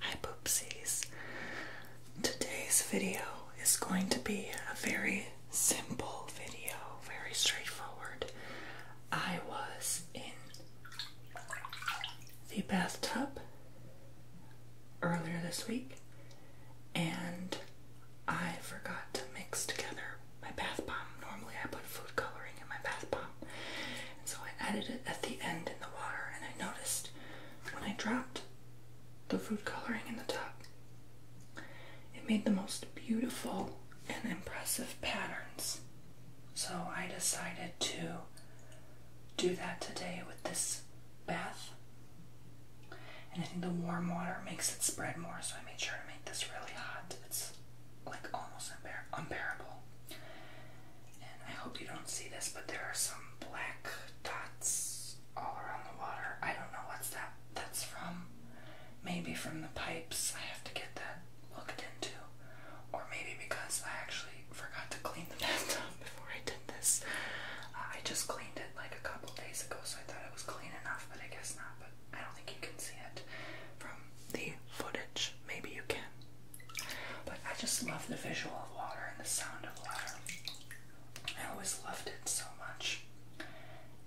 Hi Poopsies! Today's video is going to be a very simple video, very straightforward. I was in the bathtub earlier this week and I forgot to mix together my bath bomb. Normally I put food coloring in my bath bomb so I added it at the end in the water, and I noticed when I dropped the food coloring in the tub, it made the most beautiful and impressive patterns. So I decided to do that today with this bath. And I think the warm water makes it spread more, so I made sure to make this really hot. It's like almost unbearable. And I hope you don't see this, but there are some black dots all around the water. I don't know what's that that's from. Maybe from the pipes. I have to get that looked into. Or maybe because I actually forgot to clean the bathtub before I did this. Uh, I just cleaned it like a couple days ago, so I thought it was clean enough, but I guess not. But I don't think you can see it from the footage. Maybe you can. But I just love the visual of water and the sound of water. I always loved it so much.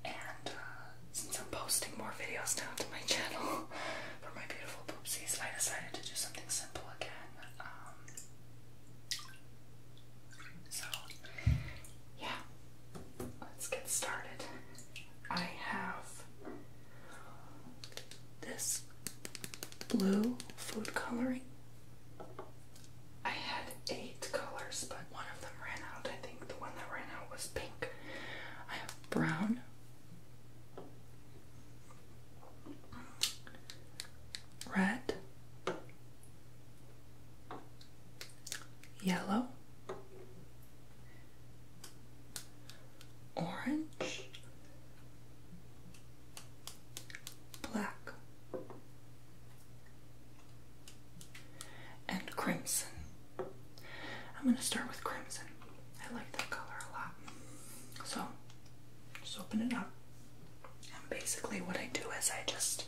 And uh, since I'm posting more videos down to my channel for my beautiful poopsies, I decided to do something simple again. Um, so, yeah, let's get started. I have this blue food coloring. I had eight colors, but one of them ran out. I think the one that ran out was pink. I have brown. Red, yellow, orange, black, and crimson. I'm going to start with crimson. I like that color a lot. So, just open it up. And basically, what I do is I just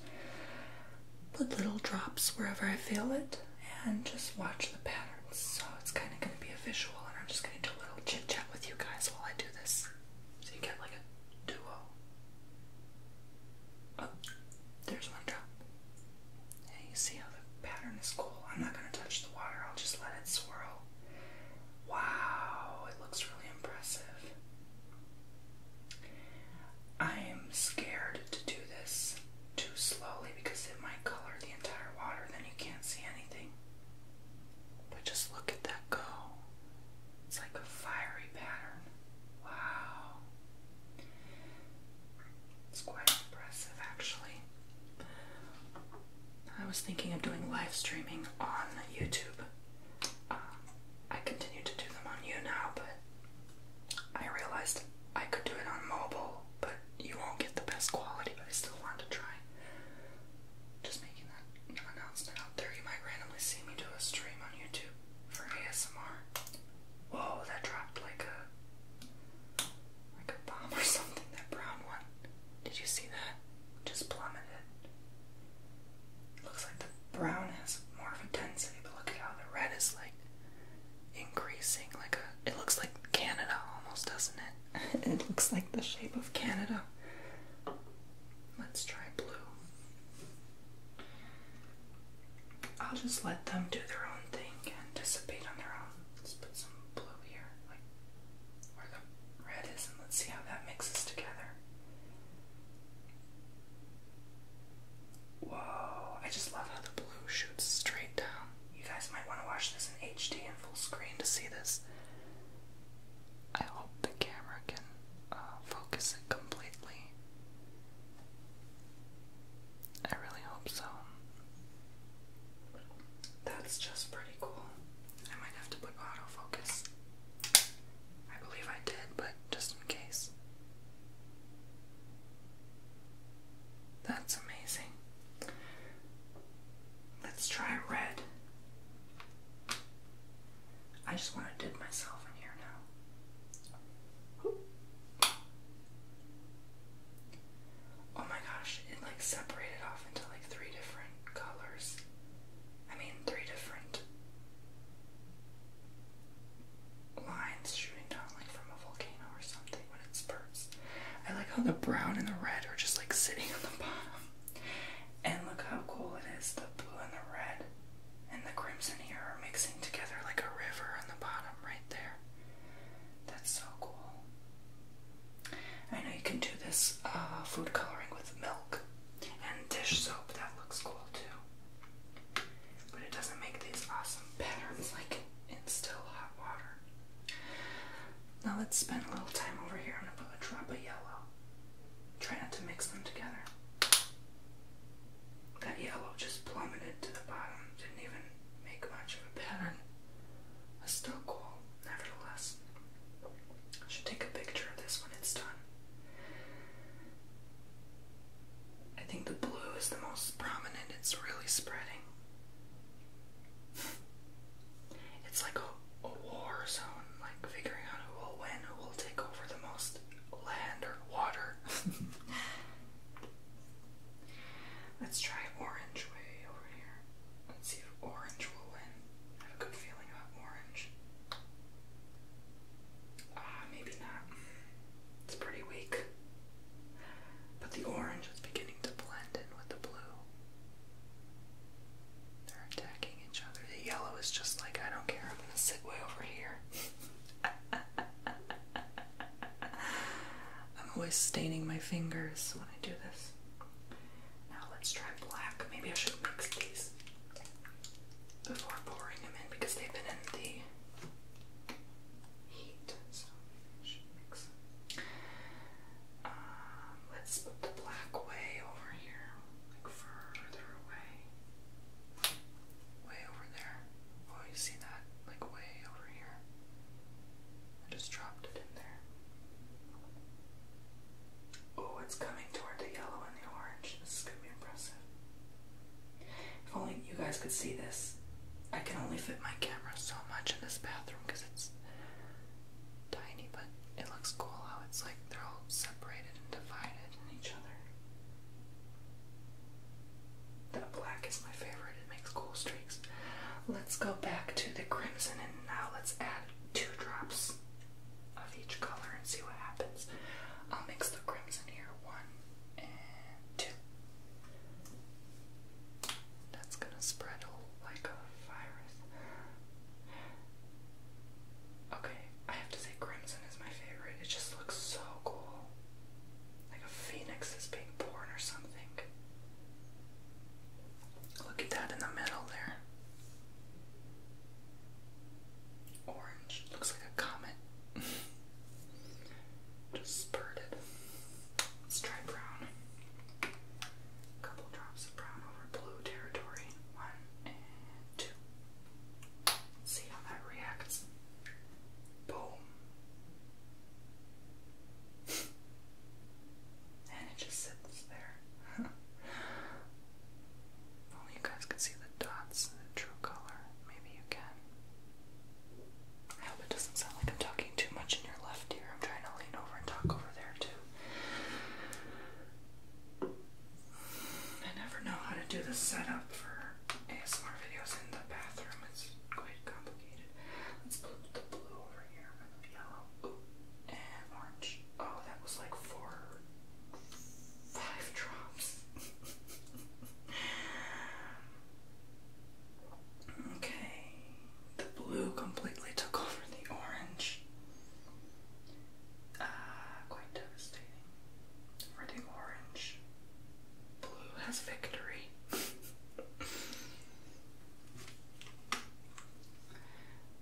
put little drops wherever I feel it and just watch the patterns. So it's kind of going to be a visual, and I'm just going to do a little chit chat with you guys while I do this. So you get like a duo. Oh, there's one drop. Yeah, you see how the pattern is cool. I'm not going to touch the water, I'll just let it swirl. Wow, it looks really impressive. I am scared to do this too slowly because it might color the entire water, then you can't see anything. But just look at that go. It's like a fiery pattern. Wow. It's quite impressive, actually. I was thinking of doing live streaming on YouTube. Um, I continue to do them on you now, but I realized I could do it on mobile, but you won't get the best quality, but I still want to try. Just making that announcement out there. You might randomly see me do a stream on YouTube for ASMR. Whoa, that dropped like a like a bomb or something, that brown one. Did you see that? Just plummeted. looks like the brown has more of a density, but look at how the red is like increasing like a it looks like Canada almost doesn't it it looks like the shape of Canada let's try blue I'll just let them do their own thing and dissipate on their own let's put some blue here like where the red is and let's see how that mixes together Whoa, I just love how the blue shoots straight down. You guys might want to watch this in HD and full screen to see this. I hope the camera can uh, focus it completely. I really hope so. That's just pretty cool. I might have to put autofocus. I believe I did, but just in case. That's amazing. Let's try red. I just want to dip myself in here now. Oh my gosh, it like separated off into like three different colors. I mean, three different lines shooting down like from a volcano or something when it spurts. I like how the brown and the red are just like sitting on the bottom. And look how cool it is. The blue and the red and the crimson here are mixing together like a river on the bottom right there. That's so cool. I know you can do this uh, food coloring with milk and dish soap. That looks cool too. But it doesn't make these awesome patterns like in still hot water. Now let's spend a little time over here. I'm gonna put a drop of yellow. Try not to mix them together. That yellow just plummeted to the bottom. Didn't even make much of a pattern. still cool, nevertheless. I should take a picture of this when it's done. I think the blue is the most prominent. It's really spreading. It's like a, war zone, like figuring out who will win, who will take over the most land or water. Let's try orange way over here. Let's see if orange will win. I have a good feeling about orange. Ah, maybe not. It's pretty weak. But the orange is beginning to blend in with the blue. They're attacking each other. The yellow is just like, I don't care, I'm gonna sit way over here. I'm always staining my fingers when I do this. Now let's try black. Maybe I should mix these before pouring them in because they've been in the um, let's put the black way over here, like further away. Way over there. Oh, you see that? Like way over here. I just dropped it in there. Oh, it's coming toward the yellow and the orange. This is gonna be impressive. If only you guys could see this. I can only fit my camera so much in this bathroom because it's tiny, but it looks cool how it's like they're all separated and divided in each other. That black is my favorite, it makes cool streaks. Let's go back to the crimson and now let's add two drops of each color and see what happens. I'll mix the crimson here, one and and that's gonna spread like a virus. Okay, I have to say crimson is my favorite. It just looks so cool. Like a phoenix is being born or something. Look at that in the middle there orange. Looks like a comet. Just spurted. Let's try brown. couple drops of brown over blue territory. One 2 see how that reacts. Boom. and it just sits there. Only you guys can see the dots the true color. Maybe you can. I hope it doesn't sound like I'm talking too much in your left ear. I'm trying to lean over and talk over there too. I never know how to do the setup for ASMR videos in the bathroom. It's quite complicated. Let's put the blue over here and the yellow Ooh, and orange. Oh, that was like four, five drops. Okay, the blue completely took over the orange. Ah, quite devastating. For the orange, blue has victory.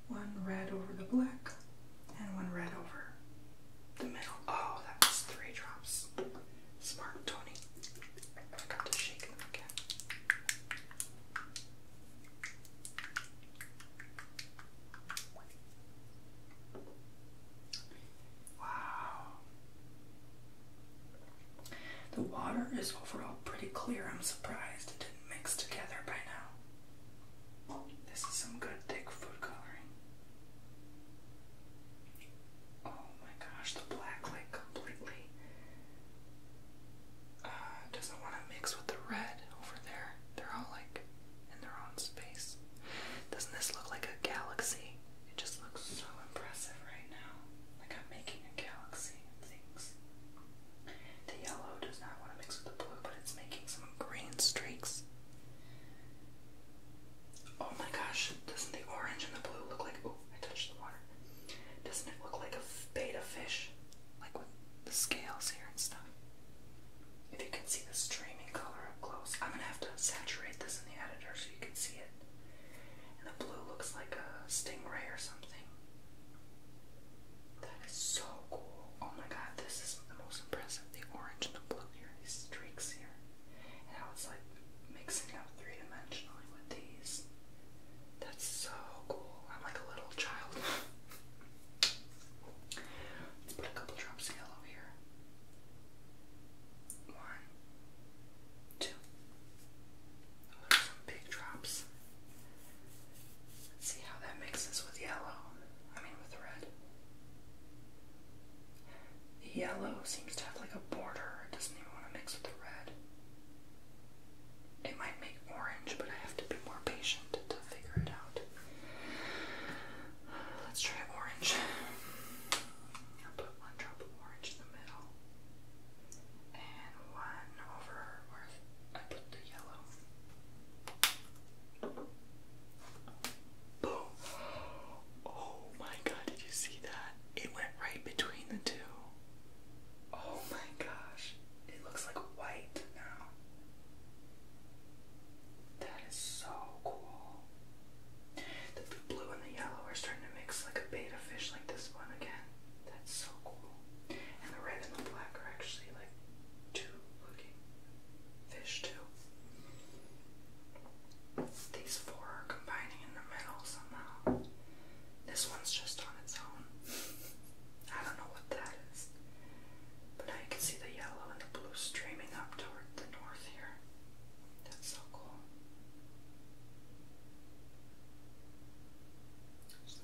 one red over the black, and one red over the middle. Oh, that was three drops. Smart, Tony. I got to shake them again. Wow. The water is overall pretty clear. I'm surprised it didn't mix together by now. This is some good thick food coloring. Oh my gosh, the black like completely uh, doesn't want to mix with the red over there. They're all like in their own space. Doesn't this look like a galaxy? It just looks so impressive right now. Like I'm making a galaxy of things. The yellow does not want to mix with the blue, but it's making some green streaks. Oh my gosh, doesn't the orange and the blue look like. Oh, I touched the water. Doesn't it look like a beta fish? Like with the scales here and stuff. If you can see the streaming color up close, I'm gonna have to saturate this in the editor so you can see it. And the blue looks like a stingray or something. That is so cool. Oh my god, this is the most impressive the orange and the blue here, these streaks here. And how it's like mixing up three dimensionally with these. That's so cool. I'm like a little child. Let's put a couple drops of yellow here. One, two. Oh, some big drops. see how that mixes with yellow. I mean, with red. The yellow seems to have like a border. It doesn't even want to mix with the red. It might make orange, but I have to be more patient to figure it out. Let's try orange. I'll put one drop of orange in the middle. And one over I put the yellow. Boom. Oh my god, did you see that? It went right between the two. Oh my gosh. It looks like white now. That is so cool. The, blue and the yellow are starting to mix like a beta fish like this one again. That's so cool. And the red and the black are actually like two looking fish too. These four are combining in the middle somehow. This one's just on its own. I don't know what that is. But I can see the yellow and the blue streaming up toward the north here. That's so cool.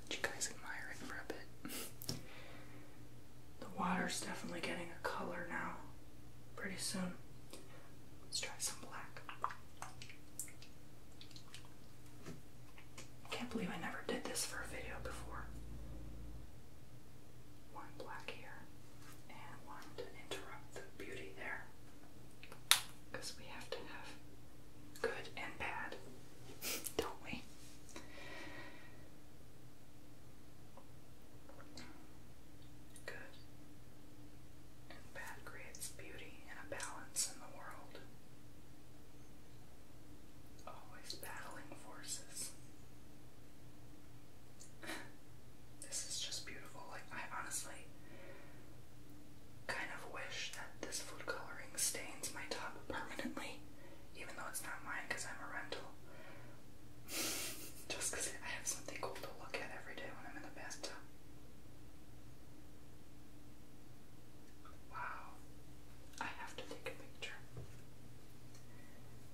let you guys admire it for a bit. The water's definitely getting a color now. Pretty soon. Let's try some black. I can't believe I never did this for a video before. One black here and one to interrupt the beauty there. Because we have to have good and bad, don't we? Good. And bad creates beauty and a balance in the world. Always battling forces. this is just beautiful. Like, I honestly kind of wish that this food coloring stains my top permanently even though it's not mine because I'm a rental. Just because I have something cool to look at every day when I'm in the bathtub. Wow. I have to take a picture.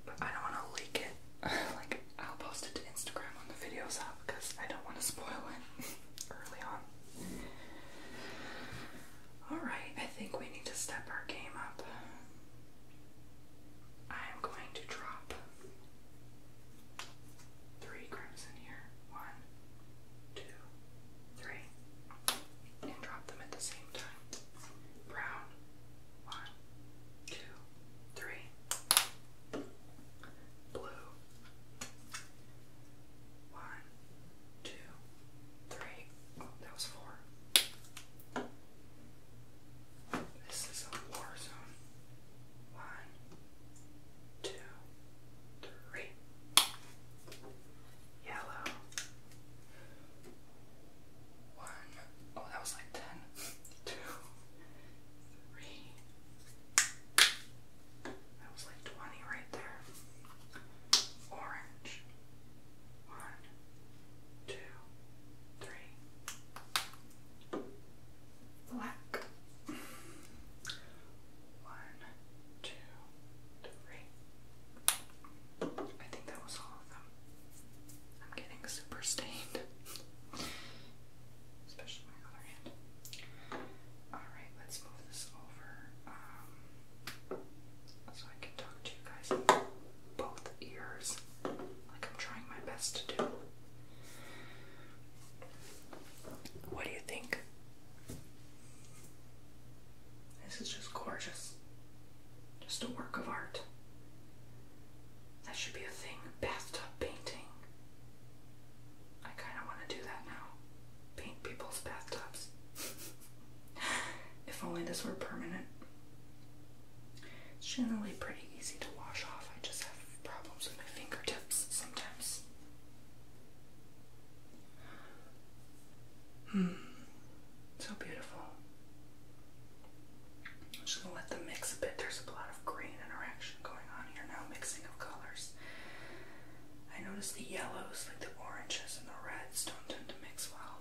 But I don't want to leak it. like, I'll post it to Instagram when the video's up because I don't want to spoil it early on. Alright, I think we need to step our game up. I am going to drop three grams here. One, two, three. And drop them at the same time. Brown. One, two, three. Blue. One, two, three. Oh, that was four. This is a war zone. One, two, three. Yellow. One. Oh, that was like ten. Two, three. That was like twenty right there. Orange. One, two, three. Black. One, two, three. I think that was all of them. I'm getting super stained. Especially my other hand. Alright, let's move this over so I can talk to you guys both ears, like I'm trying my best to do. What do you think? This is just gorgeous. Just a work of art. That should be a thing. Bathtub painting. I kind of want to do that now. Paint people's bathtubs. If only this were permanent. It's generally pretty easy to wash off. I just have problems with my fingertips sometimes. Hmm. So beautiful. I'm just gonna let them mix a bit. There's a lot of green interaction going on here now, mixing of colors. I notice the yellows, like the oranges and the reds, don't tend to mix well.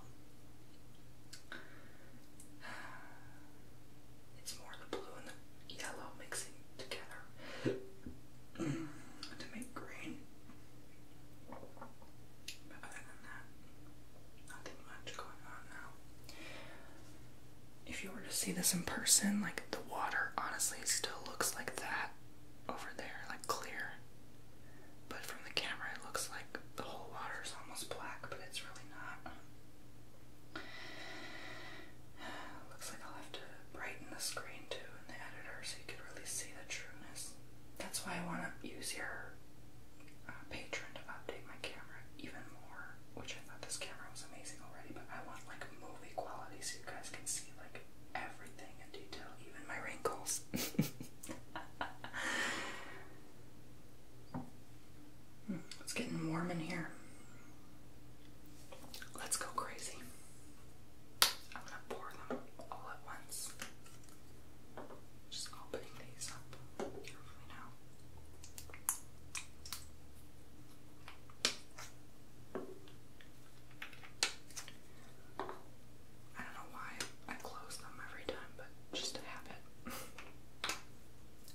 It's more the blue and the yellow mixing together to make green. But other than that, nothing much going on now. If you were to see this in person, like the water honestly still looks like that over there, like clear. But from the camera, it looks like the whole water is almost black, but it's really not. Looks like I'll have to brighten the screen too in the editor so you can really see the trueness. That's why I want to use your uh, patron to update my camera even more, which I thought this camera was amazing already, but I want like movie quality so you guys can see like everything in detail, even my wrinkles. Hmm, it's getting warm in here. Let's go crazy. I'm gonna pour them all at once. Just opening these up carefully now. I don't know why I close them every time, but just a habit.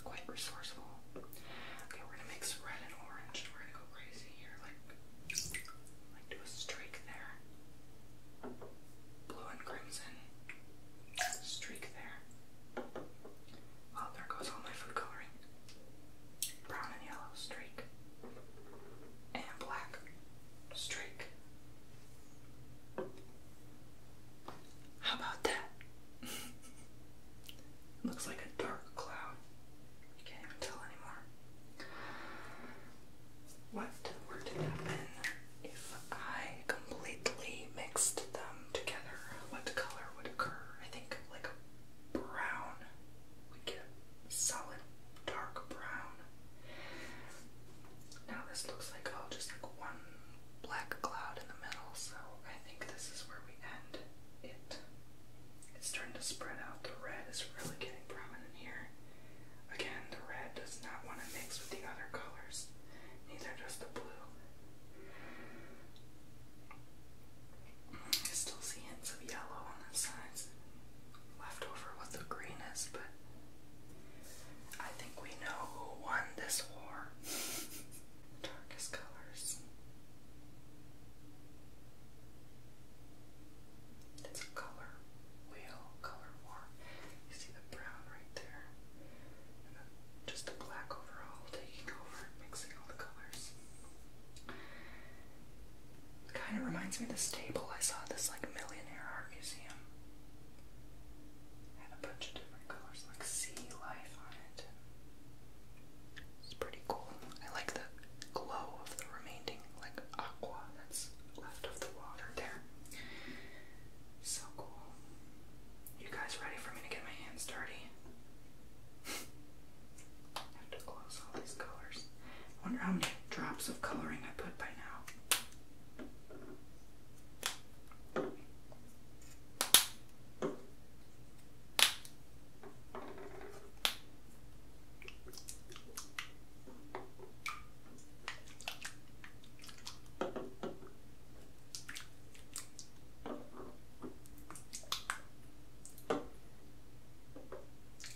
Quite resourceful. Okay, we're gonna mix red and orange. We're gonna go crazy here, like do a streak there. Blue and crimson. Streak there. Oh, there goes all my food coloring. Brown and yellow streak. And black streak. How about that? Looks like a dark cloud. You can't even tell anymore. What were happen if I completely mixed them together? What color would occur? I think like brown we get solid dark brown. Now this looks like all oh, just like one black cloud in the middle, so I think this is where we end it. It's starting to spread out. The red is really getting prominent here. Again, the red does not want to mix with the other colors. Neither does the blue. I still see hints of yellow on the sides left over the green but I think we know who won this war. Darkest colors. It's a color wheel, color war. You see the brown right there, and then just the black overall taking over, mixing all the colors. Kind of reminds me of this table I saw this like millionaire art museum. Had a bunch of different colors like sea life on it. It's pretty cool. I like the glow of the remaining like aqua that's left of the water there. So cool. You guys ready for me to get my hands dirty? I have to close all these colors. I wonder how many drops of coloring I put by now.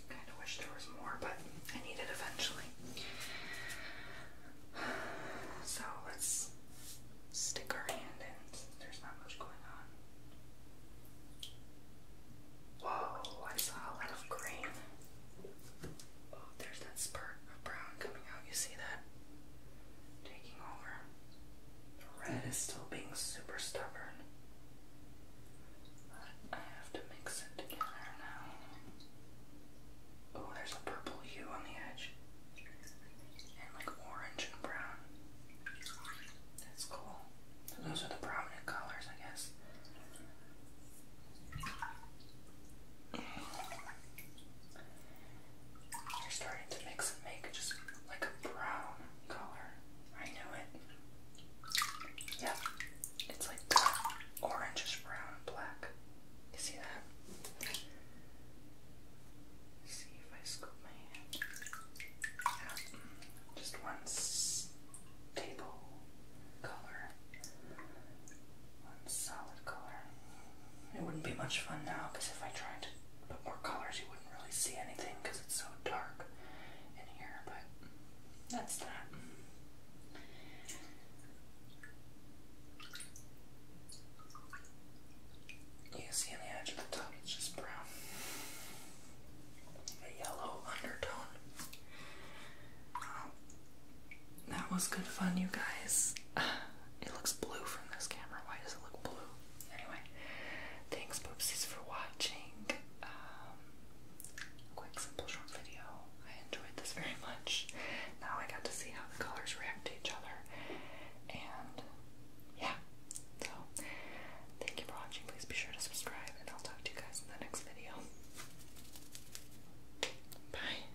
Kind of wish there was more, but I need it eventually. So let's stick our hand in there's not much going on. Whoa, I saw a lot of green. Oh, there's that spurt of brown coming out. You see that? Taking over. The red is still being super stubborn. I have to mix it together now. Oh, there's a purple hue on the edge. And like orange and brown. That's cool. So those are the prominent colors, I guess. You're starting to mix and make just like a brown color. I know it. Yeah, it's like Orange brown black. You see that? see if I scoop my hand. Yeah, just one stable color. One solid color. It wouldn't be much fun now because if I tried to put more colors, you wouldn't really see anything because it's so dark in here, but that's that. You can see on the edge of the top, it's just brown. A yellow undertone. that was good fun, you guys. It looks blue from this camera. Why does it look blue? anyway, thanks Boopsies for watching. Um, quick, simple, short video. I enjoyed this very much. Now I got to see how the colors react to each other. And yeah, so thank you for watching. Please be sure to subscribe, and I'll talk to you guys in the next video. Bye.